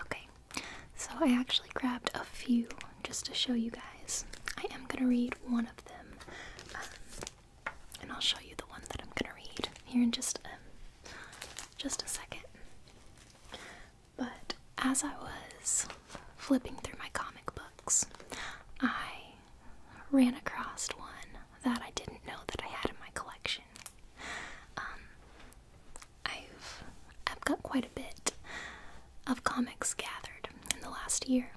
Okay, so I actually grabbed a few just to show you guys. I am gonna read one of them, um, and I'll show you the one that I'm gonna read here in just um, just a second. But as I was flipping through my comic books, I ran across one that I didn't know that I had in my collection. Um, I've I've got quite a bit of comics gathered in the last year.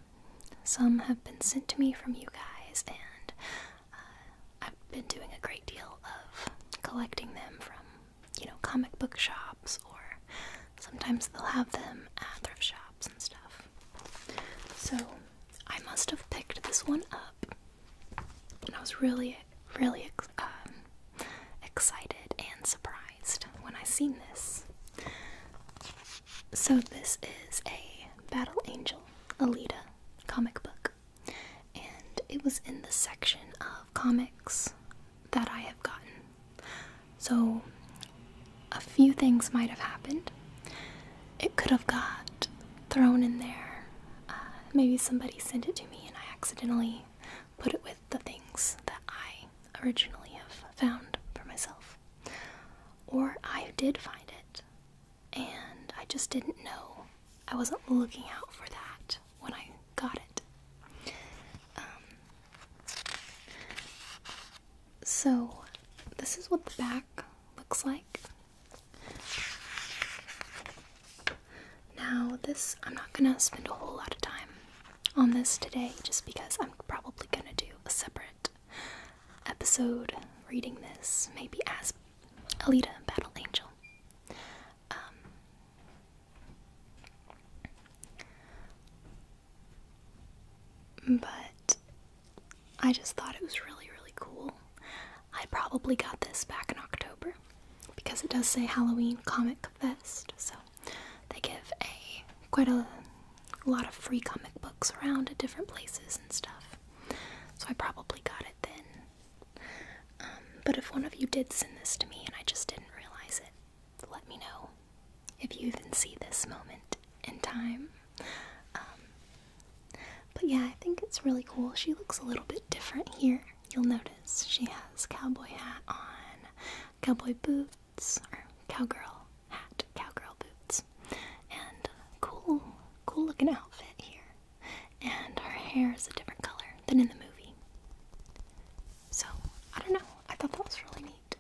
Some have been sent to me from you guys, and uh, I've been doing a great deal of collecting them from, you know, comic book shops, or sometimes they'll have them at thrift shops and stuff. So I must have picked this one up and I was really, really um, excited and surprised when I seen this. So this is a Battle Angel Alita comic book, and it was in the section of comics that I have gotten. So a few things might have happened. It could have got thrown in there. Uh, maybe somebody sent it to me and I accidentally put it with the things that I originally have found for myself. Or I did find it and I just didn't know. I wasn't looking out for that when I got it. Um, so, this is what the back looks like. Now, this, I'm not gonna spend a whole lot of time on this today just because I'm probably gonna do a separate episode reading this, maybe as Alita Battle Angel. Um, but I just thought it was really, really cool. I probably got this back in October because it does say Halloween Comic Fest, so they give a quite a, lot of free comic books around at different places and stuff. So I probably got it then. Um, but if one of you did send this to me and I just didn't realize it, let me know if you even see this moment in time. Um, but yeah, I think it's really cool. She looks a little bit different here. You'll notice she has cowboy hat on, cowboy boots, or cowgirl hat, cowgirl boots, and cool, cool looking outfit here. And her hair is a different color than in the movie. So, I don't know. I thought that was really neat.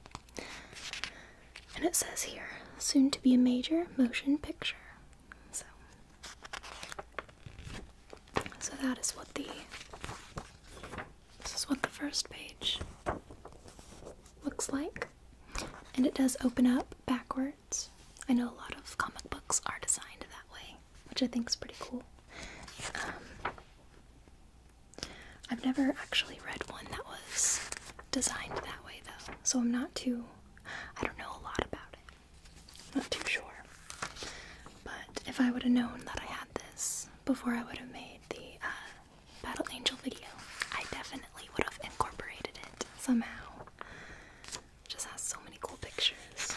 And it says here, soon to be a major motion picture. So, so that is what the this is what the first page looks like, and it does open up backwards. I know a lot of comic books are designed that way, which I think is pretty cool. Um, I've never actually read one that was designed that way, though, so I'm not too. I don't know a lot about it. Not too sure. But if I would have known that I had this before I would have made the uh, Battle Angel video, I definitely would have incorporated it somehow. just has so many cool pictures.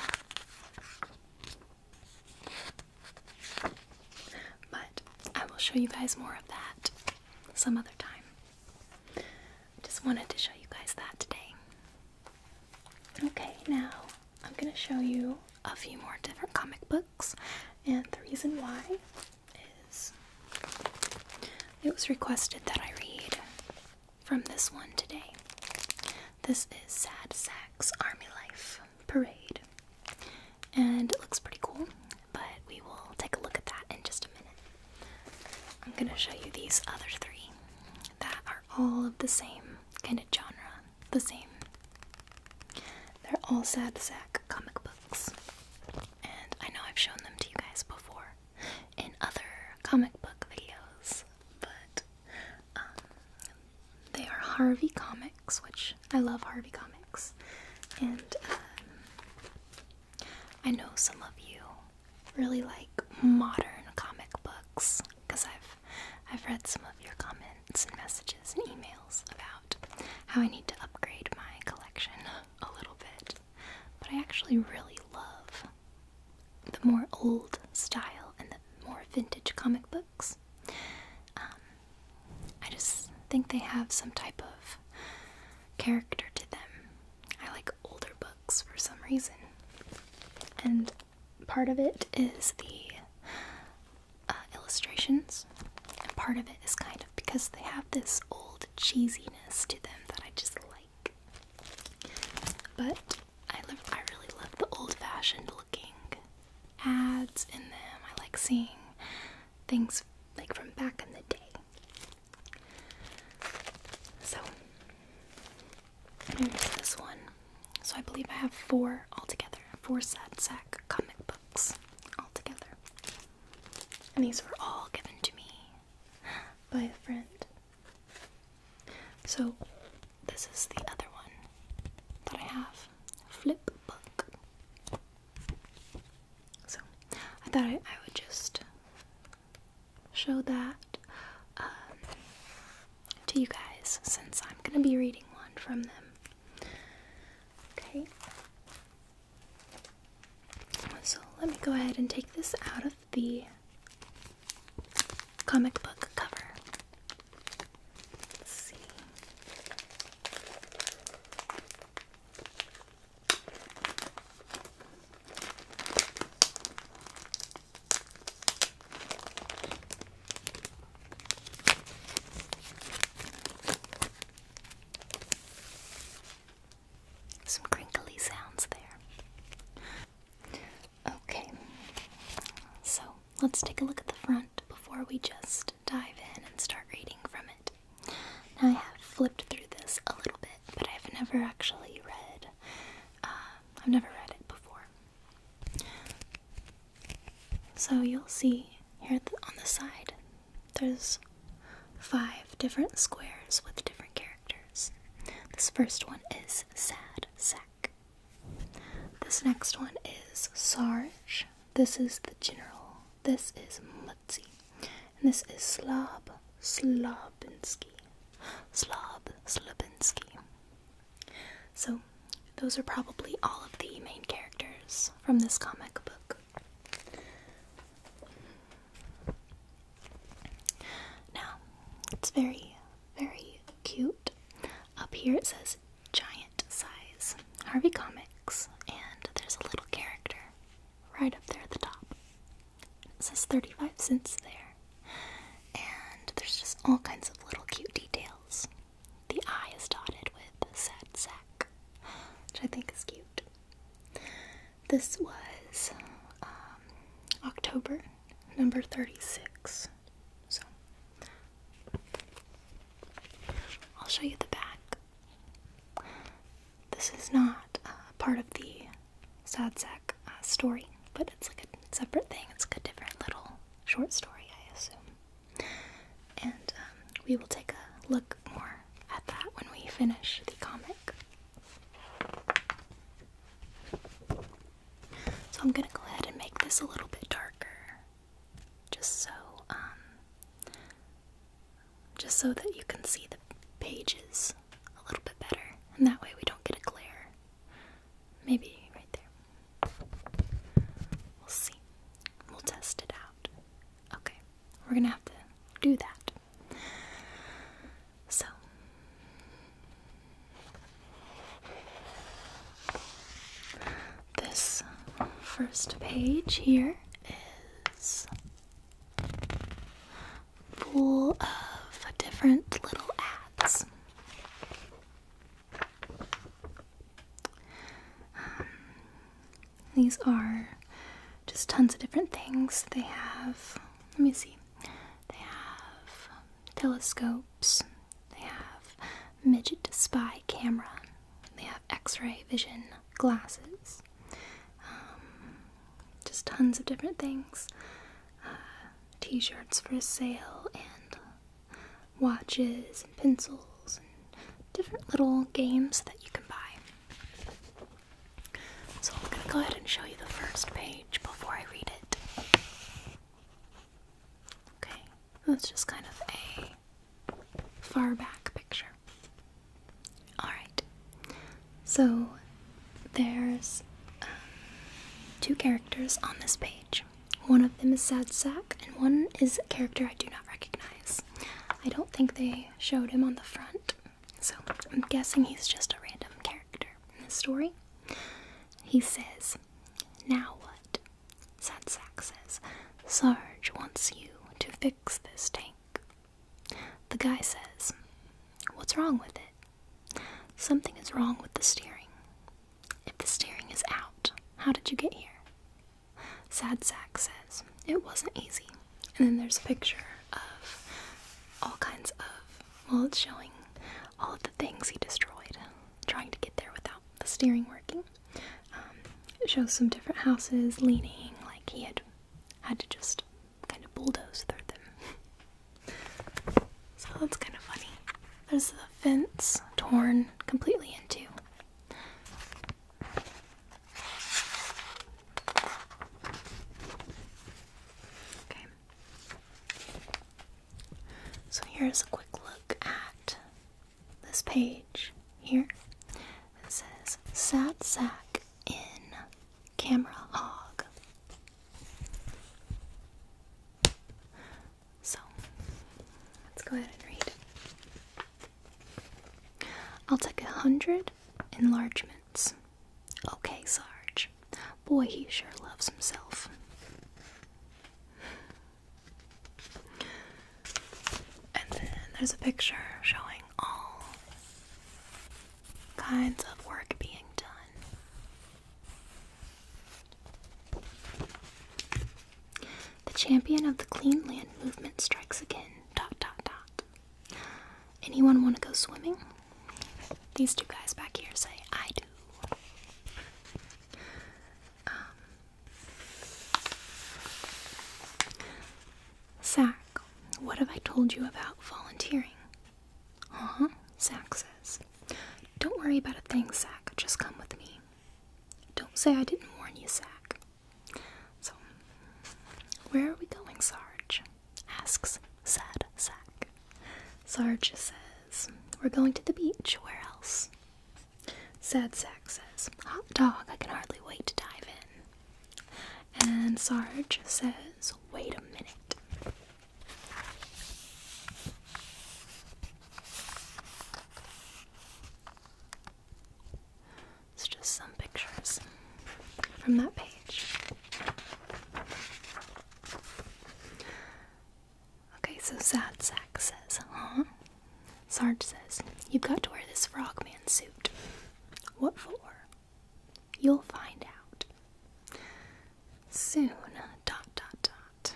But I will show you guys more of that some other time. Just wanted to show you guys that today. Okay, now I'm going to show you a few more different comic books, and the reason why is it was requested that I read from this one today. This is Sad Sack's Army Life Parade, and it looks pretty cool, but we will take a look at that in just a minute. I'm gonna show you these other three that are all of the same kind of genre, the same. They're all sad sack comic books, and I know I've shown them to you guys before in other comic book videos, but um, they are Harvey Comics, which I love Harvey Comics, and um, I know some of you really like modern comic books because I've I've read some of your comments and messages and emails about how I need to upgrade my collection a little bit. But I actually really love the more old style and the more vintage comic books. Um, I just think they have some type of character to them I like older books for some reason. And part of it is the uh, illustrations, and part of it is kind of because they have this old cheesiness to them that I just like. But I, love, I really love the old fashioned looking ads in them. I like seeing things like from back in the day. So here's mm, this one. So I believe I have four altogether, four sad sack comic books altogether. And these were all given to me by a friend. So this is the other one that I have. Flip book. So I thought I, I would just show that um, to you guys since I'm going to be reading one from them. Okay. So let me go ahead and take this out of the comic book cover. Let's see. Some crinkly sounds there. Okay, so let's take a look at the front before we just dive in and start reading from it. Now I have flipped through this a little bit, but I've never actually read. Uh, I've never read it before. So you'll see here on the side, there's five different squares with different characters. This first one is Sad Sack. This next one is Sarge. This is the general. This is and this is Slob Slobinski. Slob Slobinski. So, those are probably all of the main characters from this comic book. Now, it's very, very cute. Up here it says giant size Harvey Comics, and there's a little character right up there at the top. It says 35 cents there. And there's just all kinds of little cute details. The eye is dotted with a sad sack, which I think is cute. This was um, October number 36. So I'll show you the back. This is not uh, part of the Sad Sack uh, story, but it's like a separate thing. It's like a different little short story, I assume. And um, we will take a look more at that when we finish the comic. So I'm gonna go ahead and make this a little bit darker, just so um, just so that you can see the pages a little bit better, and that way we don't get a glare. Maybe right there. We'll see. We'll test it out. Okay, we're gonna have to do that. So. This first page here is full of different little ads. Um, these are just tons of different things. They have, let me see, they have telescopes, they have midget spy camera, they have x ray vision glasses, um, just tons of different things uh, t shirts for sale, and watches, and pencils, and different little games that you can buy. So I'm going to go ahead and show you the first page before I read it. Okay, that's just kind of a far back picture. Alright, so there's um, two characters on this page. One of them is Sad Sack, and one is a character I do not recognize. I don't think they showed him on the front, so I'm guessing he's just a random character in the story. He says, Now what? Sad Sack says, Sarge wants you to fix this tank. The guy says, What's wrong with it? Something is wrong with the steering. If the steering is out, how did you get here? Sad Sack says, It wasn't easy. And then there's a picture of all kinds of, well, it's showing all of the things he destroyed trying to get there without the steering working. Um, it shows some different houses leaning, like he had had to just kind of bulldoze through them. so that's kind of funny. There's the fence torn completely in two. Okay. So here's a quick look at this page here. It says Sad Sack in Camera hog. So, let's go ahead and read. I'll take a hundred enlargements. Okay, Sarge. Boy, he sure loves himself. And then there's a picture showing all kinds of work being done. The champion of the clean land movement strikes again. Dot dot dot. Anyone want to go swimming? These two guys back here say, I do. Um, Zach what have I told you about volunteering? Uh huh, Zach says. Don't worry about a thing, Zach. Just come with me. Don't say I didn't warn you, Zach. So, where are we going, Sarge? asks sad Zach. Sarge says, We're going to the beach. Where else? Sad Zach says, Hot dog, I can hardly wait to dive in. And Sarge says, wait a minute. It's just some pictures from that page. Okay, so Sad Sack says, huh? Sarge says, You've got to wear this frogman suit. What for? You'll find out. Soon, dot dot dot.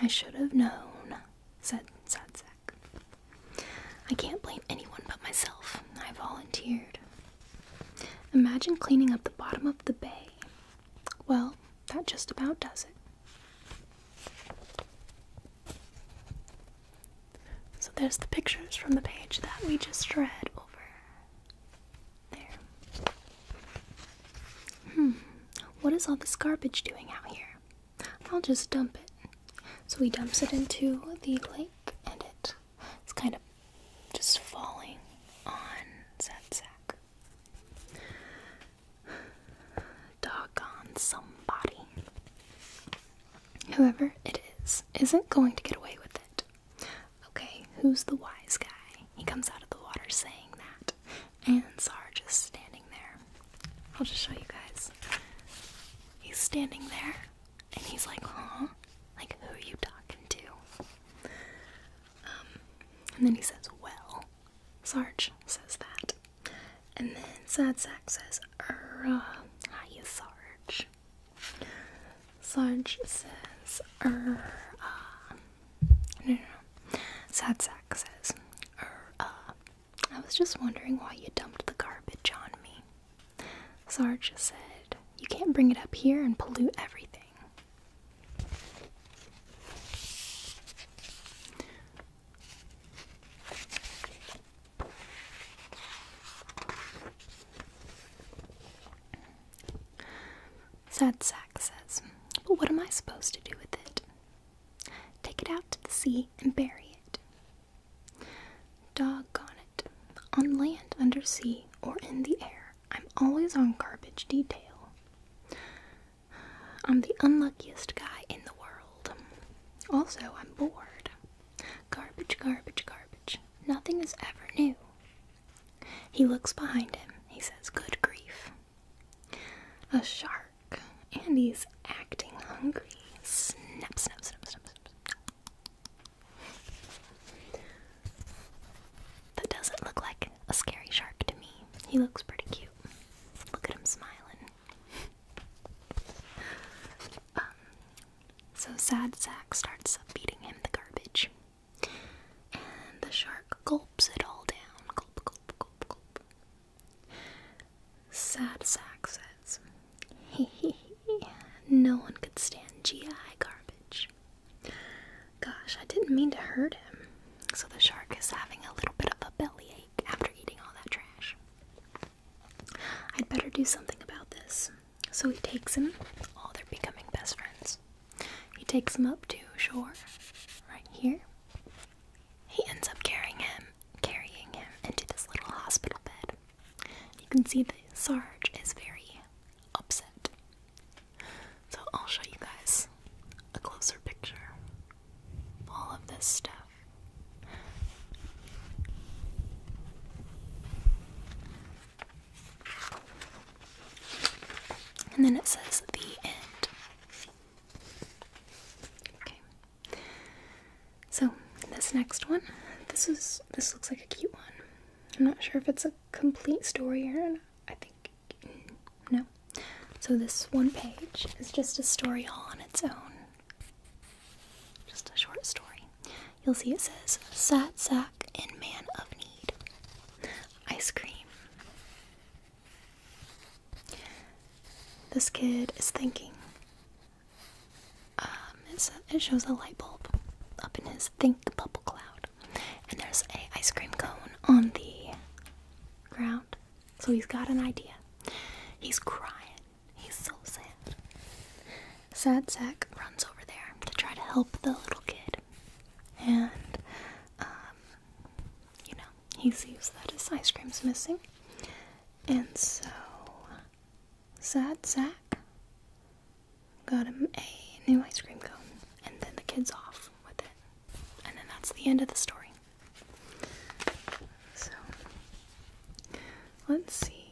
I should have known, said Sadzak. I can't blame anyone but myself. I volunteered. Imagine cleaning up the bottom of the bay. Well, that just about does it. So there's the pictures from the page that we just read over there. Hmm, what is all this garbage doing out here? I'll just dump it. So he dumps it into the lake and it is kind of just falling on Zepzak. Doggone somebody. Whoever it is isn't going to get away with it. Okay, who's the wise guy? He comes out of the water saying that. And Sarge just standing there. I'll just show you guys. He's standing there and he's like, huh? Like, who are you talking to? Um, and then he says, well. Sarge says that. And then Sad Sack says, uh, hiya, Sarge. Sarge says, uh, no, no, Sad Sack says, uh, I was just wondering why you dumped the garbage on me. Sarge said, You can't bring it up here and pollute everything. Sad sack says, But what am I supposed to do with it? Take it out to the sea and bury it. Doggone it. On land, under sea, or in the air, I'm always on garbage detail. I'm the unluckiest guy in the world. Also, I'm bored. Garbage, garbage, garbage. Nothing is ever new. He looks behind him. He says, Good grief. A shark. And he's acting hungry. Snap, snap, snap, snap, snap. That doesn't look like a scary shark to me. He looks pretty cute. Look at him smiling. um, so Sad Sack starts feeding him the garbage. And the shark gulps it all down. Gulp, gulp, gulp, gulp. Sad Sack says, Hee no one could stand GI garbage. Gosh, I didn't mean to hurt him. So the shark is having a little bit of a bellyache after eating all that trash. I'd better do something about this. So he takes him. All oh, they're becoming best friends. He takes him up to shore, right here. He ends up carrying him, carrying him into this little hospital bed. You can see that Sarge is very upset. So I'll show you guys a closer picture all of this stuff. And then it says the end. Okay. So this next one, this is this looks like a cute one. I'm not sure if it's a complete story or I think no. So this one page is just a story all on its own. Just a short story. You'll see it says Sad Sack and Man of Need. Ice cream. This kid is thinking. Um, it shows a light bulb up in his think bubble cloud, and there's a ice cream cone on the ground. So he's got an idea. He's crying. He's so sad. Sad Sack runs over there to try to help the little kid. And, um, you know, he sees that his ice cream's missing. And so, Sad Sack got him a new ice cream cone. And then the kid's off with it. And then that's the end of the story. So let's see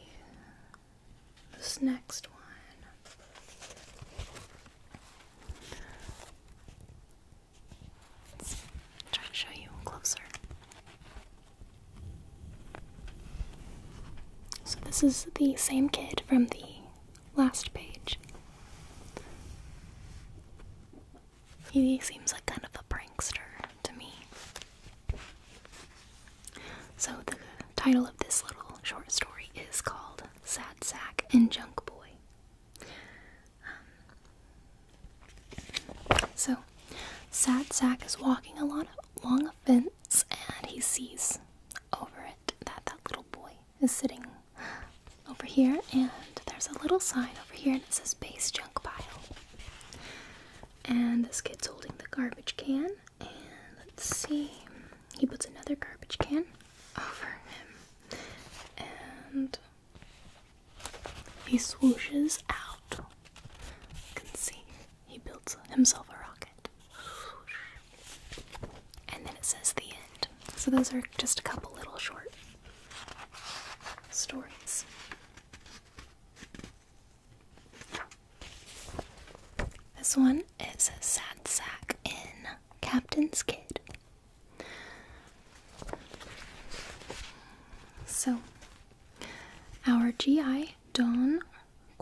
this next one. let to show you closer. So, this is the same kid from the last page. He seems like kind of a prankster to me. So, the title of this little short story is called Sad Sack and Junk Boy. Um, so, Sad Sack is walking along a fence and he sees over it that that little boy is sitting over here and there's a little sign over here and it says base junk pile and this kid's holding the garbage can. And let's see. He puts another garbage can over him. And he swooshes out. You can see he builds himself a rocket. And then it says the end. So those are just a couple little short stories. This one is a sad sack in Captain's Kid. So, our GI Don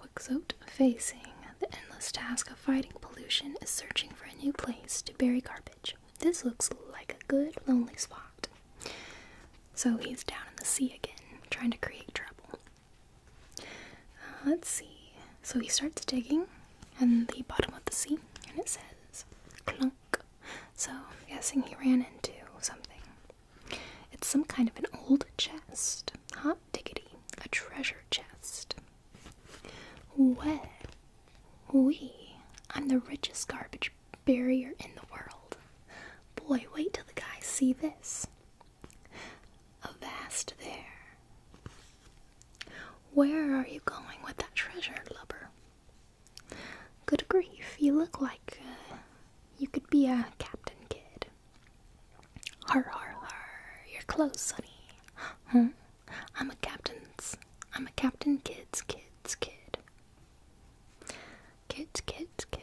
Quixote, facing the endless task of fighting pollution, is searching for a new place to bury garbage. This looks like a good lonely spot. So he's down in the sea again, trying to create trouble. Uh, let's see. So he starts digging and the bottom of the sea, and it says clunk. So I'm guessing he ran into something. It's some kind of an old chest. Hot diggity, a treasure chest. Well, we, I'm the richest garbage barrier in the world. Boy, wait till the guys see this. Avast there. Where are you going with that treasure, lubber? Good grief, you look like uh, you could be a captain kid. Har har har, you're close, sonny. Huh? I'm a captain's. I'm a captain kid's kid's kid. Kids, kids, kid.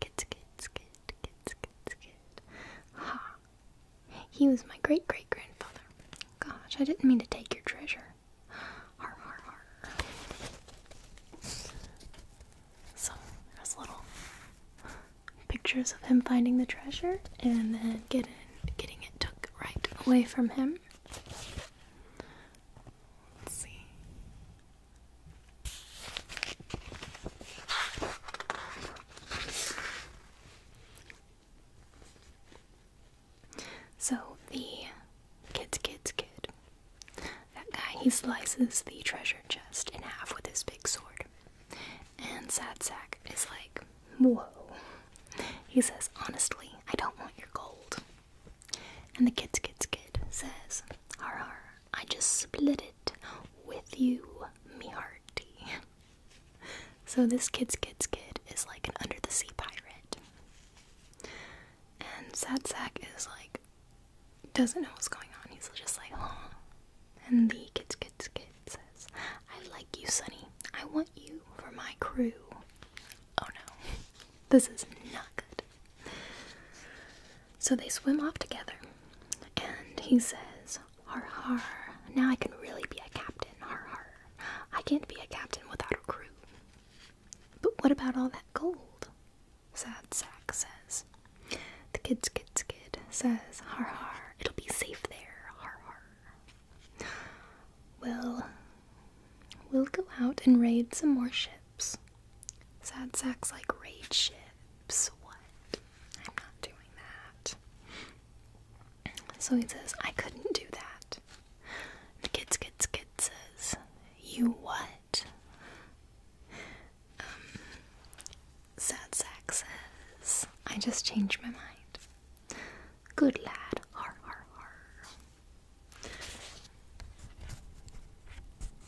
Kids, kids, kid, kids, kids, kid. Ha! He was my great great grandfather. Gosh, I didn't mean to take your treasure. Har, har, har. So, there's little pictures of him finding the treasure and then getting, getting it took right away from him. Let's see. So the kids, kids, kid. That guy, he slices the treasure chest in half with his big sword. And Sad Sack is like, whoa. He says, honestly, I don't want your gold. And the kids, kids, kid says, Har har, I just split it with you, me hearty. So this kids, kids, kid is like an under the sea pirate. And Sad Sack is like, doesn't know what's going on. He's just like, huh? And the kids, kids, kid says, I like you, Sonny. I want you for my crew. Oh no. This is not good. So they swim off together, and he says, Har har, now I can really be a captain. Har har. I can't be a captain without a crew. But what about all that gold? Sad Sack says. The kid's kid's kid says, Har har, it'll be safe there. Har har. Well, We'll go out and raid some more ships. Sad sack's like raid ships. What? I'm not doing that. So he says, I couldn't do that. The kids, kids, kid says, You what? Um, sad sacks says, I just changed my mind. Good lad, har har har.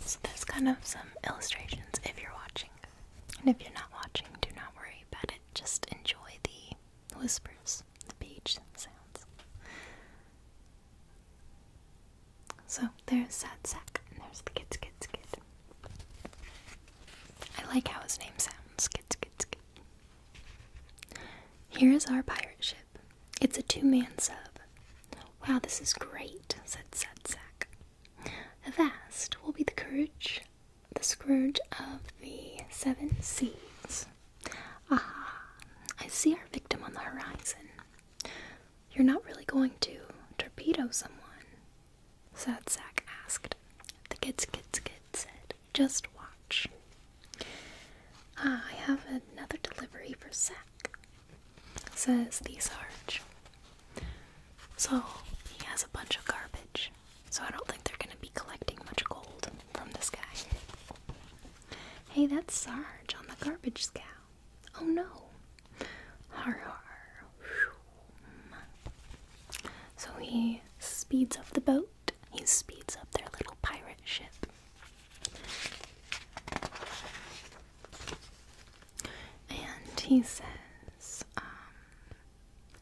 So there's kind of some illustrations if you're watching. And if you're not watching, do not worry about it. Just enjoy the whispers, the page sounds. So there's Sad Sack, and there's the Kids Kids Kid. I like how his name sounds, Kids Kids Kid. Here is our pirate ship. It's a two man sub. Wow, this is great, said Setsack. "Vast will be the courage, the scourge of the seven seas. Ah, I see our victim on the horizon. You're not really going to torpedo someone? Sad Sack asked. The kids, kids, kids said, just watch. Ah, I have another delivery for Zach, says the Sarge. So he has a bunch of garbage, so I don't think they're gonna be collecting much gold from this guy. Hey, that's Sarge on the garbage scow. Oh no. Har har. So he speeds up the boat he speeds up their little pirate ship. And he says, um,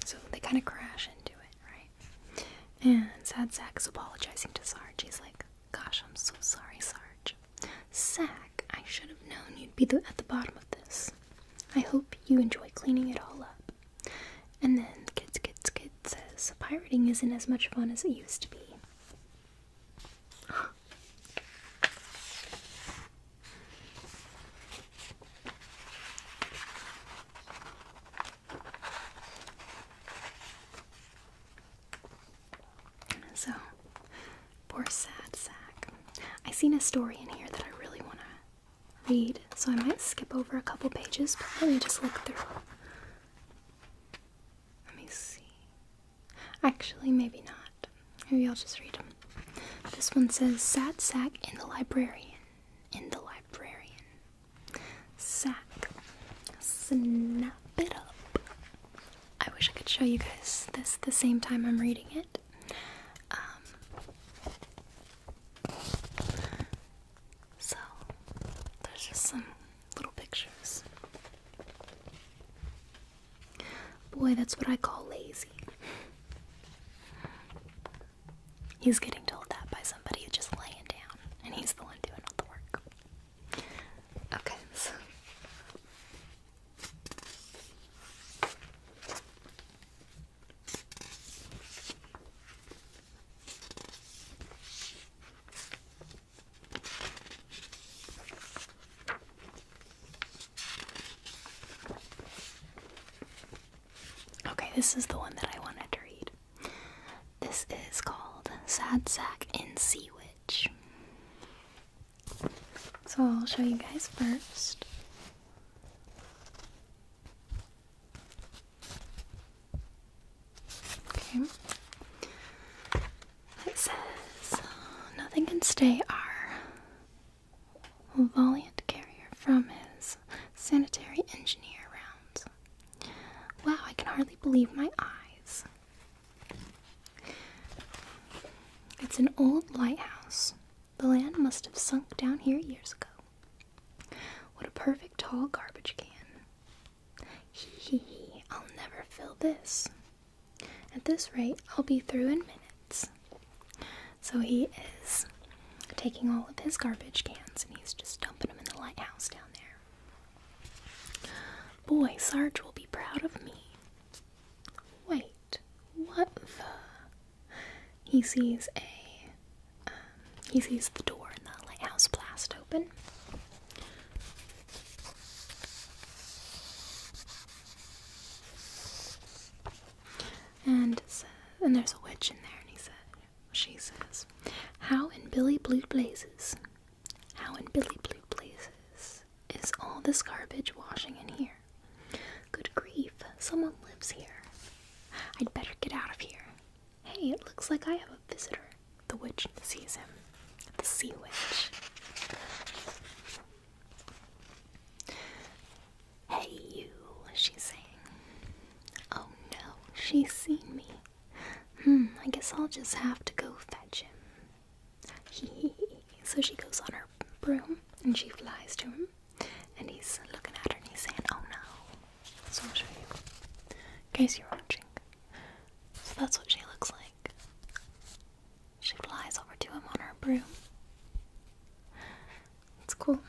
so they kind of crash into it, right? And Sad Sack is apologizing to Sarge. He's like, Gosh, I'm so sorry, Sarge. Sack, I should have known you'd be at the bottom of this. I hope you enjoy cleaning it all up. And then Kids Kids Kids says, pirating isn't as much fun as it used to be. So, poor sad sack. I seen a story in here that I really want to read, so I might skip over a couple pages, but let me just look through let me see. Actually, maybe not. Maybe I'll just read them. This one says Sat Sack in the Librarian. In the Librarian. Sack. Snap it up. I wish I could show you guys this the same time I'm reading it. Um, so, there's just some little pictures. Boy, that's what I call lazy. He's getting told that by somebody who's just laying down, and he's the one doing all the work. Okay, Okay, this is the one that I wanted to read. This is called Sad Sack and Sea Witch. So I'll show you guys first. Okay. It says nothing can stay our valiant carrier from his sanitary engineer rounds. Wow, I can hardly believe my eyes. It's an old lighthouse. The land must have sunk down here years ago. What a perfect tall garbage can. Hee hee I'll never fill this. At this rate, I'll be through in minutes. So he is taking all of his garbage cans and he's just dumping them in the lighthouse down there. Boy, Sarge will be proud of me. Wait, what the? He sees a he sees the door in the lighthouse blast open. And says, and there's a witch in there, and he says, she says, in Billy Blue Blazes, how in Billy Blue Blazes is all this garbage washing in here? Good grief, someone lives here. I'd better get out of here. Hey, it looks like I have a visitor. The witch sees him. The sea witch. Hey, you, she's saying. Oh no, she's seen me. Hmm, I guess I'll just have to go fetch him. He. so she goes on her broom and she flies to him, and he's looking at her and he's saying, Oh no, so I'll show you. In case you're watching. So that's what she looks like. She flies over to him on her broom. It's cool.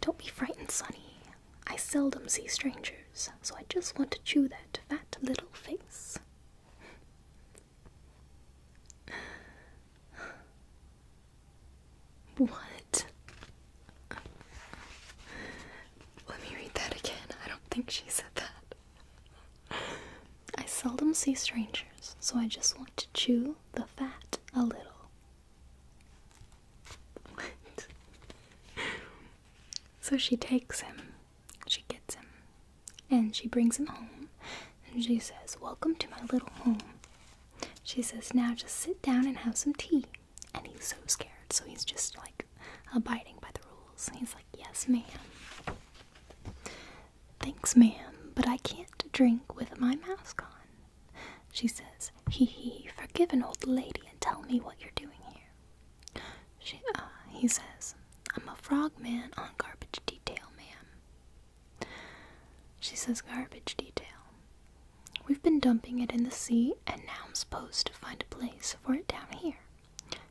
Don't be frightened, Sonny. I seldom see strangers, so I just want to chew that fat little face. What? Let me read that again. I don't think she said that. I seldom see strangers, so I just want to chew the fat a little. What? So she takes him, she gets him, and she brings him home, and she says, Welcome to my little home. She says, Now just sit down and have some tea. And he's so scared, so he's just like abiding by the rules. And he's like, Yes, ma'am. Thanks, ma'am, but I can't drink with my mask on. She says, Hee hee, forgive an old lady and tell me what you're doing here. She, uh, he says, I'm a frogman on garbage detail, ma'am. She says garbage detail. We've been dumping it in the sea, and now I'm supposed to find a place for it down here.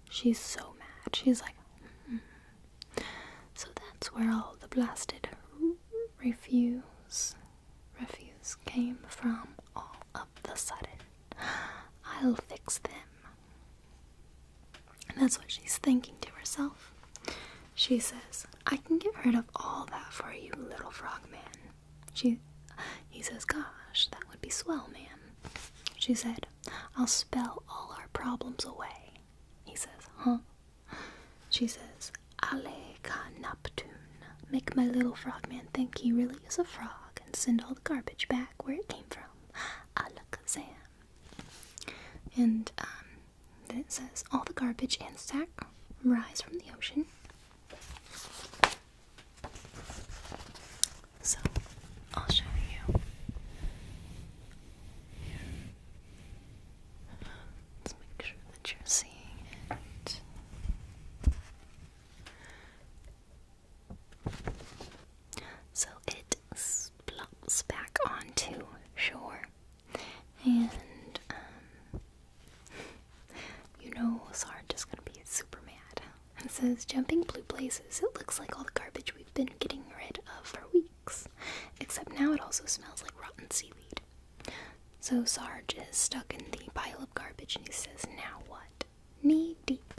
She's so mad. She's like, mm-hmm. so that's where all the blasted refuse, refuse came from. All of the sudden, I'll fix them. that's what she's thinking to herself. She says, I can get rid of all that for you, little frogman. She, he says, Gosh, that would be swell, man. She said, I'll spell all our problems away. He says, Huh? She says, Allez ka Neptune. Make my little frogman think he really is a frog and send all the garbage back where it came from. Sam And um, it says all the garbage and sack rise from the ocean. So I'll show you. Let's make sure that you're seeing it. So it plops back onto shore. And, um, you know, Sarge is gonna be super mad. And says, jumping blue blazes, it looks like all the garbage we've been getting rid of for weeks. Except now it also smells like rotten seaweed. So Sarge is stuck in the pile of garbage and he says, now what? Knee deep.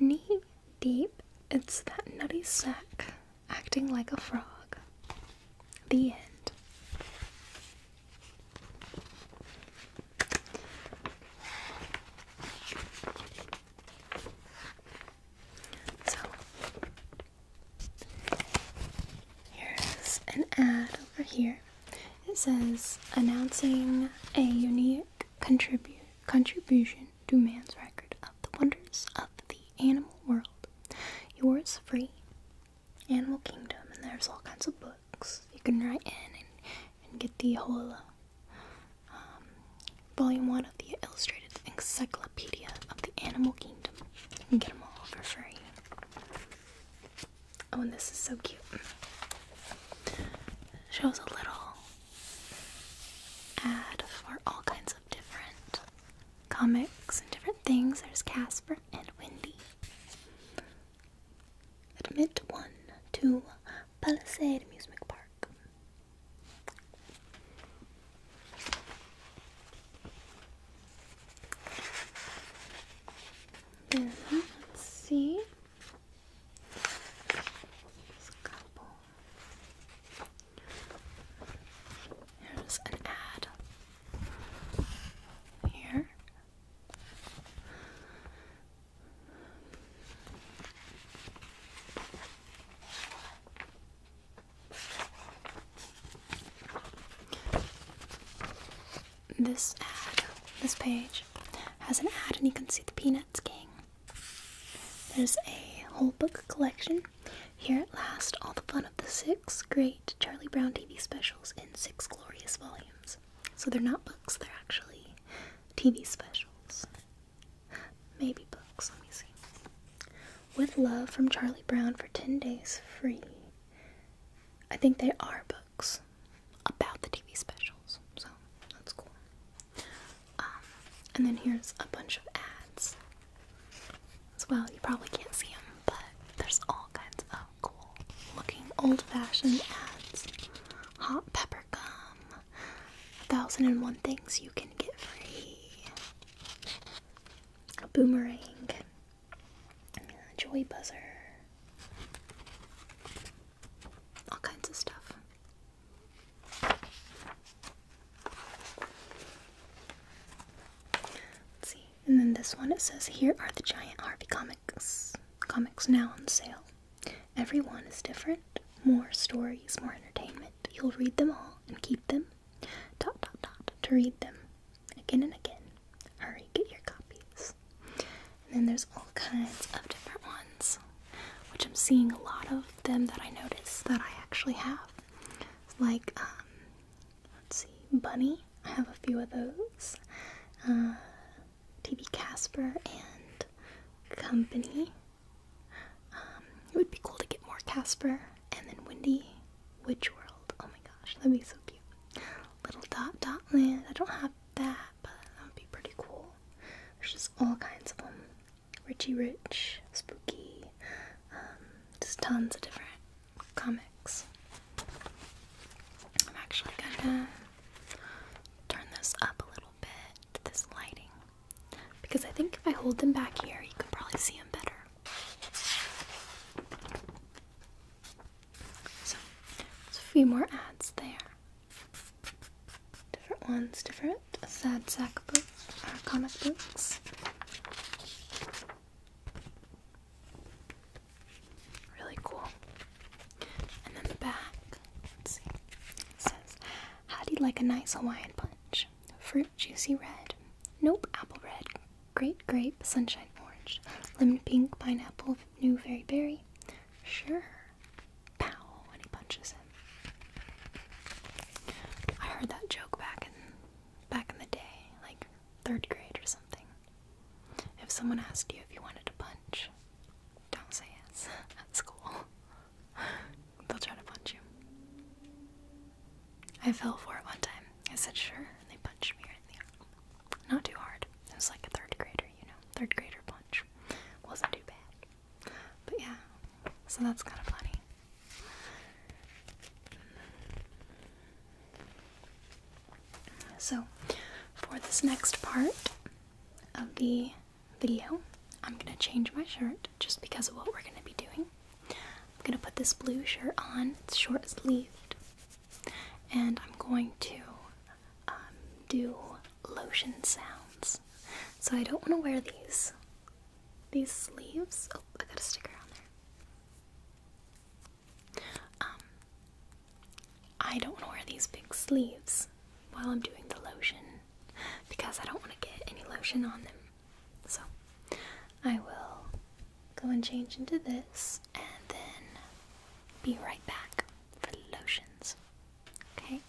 Knee deep. It's that nutty sack acting like a frog. The end. So, here's an ad over here. It says, announcing a unique contribu contribution to man's record of the wonders of the animal world. Yours free. Animal Kingdom, and there's all kinds of books you can write in and, get the whole uh, um, volume one of the Illustrated Encyclopedia of the Animal Kingdom. You can get them all for free. Oh, and this is so cute. shows a little ad for all kinds of different comics and different things. There's Casper and Wendy. Admit one to Palisade Amusement Park. let's see. There's an ad here. This ad, this page, has an ad, and you can see the Peanuts King. There's a whole book collection here at last, all the fun of the six great Charlie Brown TV specials in six glorious volumes. So they're not books, they're actually TV specials. Maybe books, let me see. With love from Charlie Brown for 10 days free. I think they are books about the TV specials, so that's cool. Um, and then here's a bunch of ads as well. You probably can't see them, but there's all kinds of cool looking old fashioned ads. Hot pepper gum. A thousand and one things you can get free. A boomerang. A joy buzzer. All kinds of stuff. Let's see. And then this one it says here are the giant Harvey comics. Comics now on sale. Every one is different. More stories, more entertainment. You'll read them all and keep them. Dot dot dot to read them again and again. Hurry, get your copies. And then there's all kinds of different ones, which I'm seeing a lot of them that I notice that I actually have like um, let's see bunny i have a few of those uh, tv casper and company um, it would be cool to get more casper and then wendy witch world oh my gosh that'd be so cute little dot dot land i don't have that but that would be pretty cool there's just all kinds of them Richie Rich, Spooky, um, just tons of different comics. I'm actually gonna turn this up a little bit, to this lighting, because I think if I hold them back here, you can probably see them better. So, there's a few more ads there. Different ones, different Sad Sack books comic books. Really cool. And then the back, says, How do you like a nice Hawaiian punch? Fruit juicy red. Nope, apple red. Great grape, sunshine orange. Lemon pink, pineapple, new very berry. Sure. Pow, and he punches I heard that joke back in back in the day, like third grade or something. If someone asked you if you wanted to punch, don't say yes at school. They'll try to punch you. I fell for it one time. I said sure, and they punched me right in the arm. Not too hard. It was like a third grader, you know. Third grader punch. Wasn't too bad. But yeah, so that's kind of funny. So, for this next part of the video, I'm gonna change my shirt just because of what we're gonna be doing. I'm gonna put this blue shirt on, it's short sleeved, and I'm going to um, do lotion sounds. So, I don't wanna wear these these sleeves. Oh, I got a sticker on there. Um, I don't want to wear these big sleeves while I'm doing the lotion because I don't want to get any lotion on them. So I will go and change into this and then be right back for the lotions. Okay?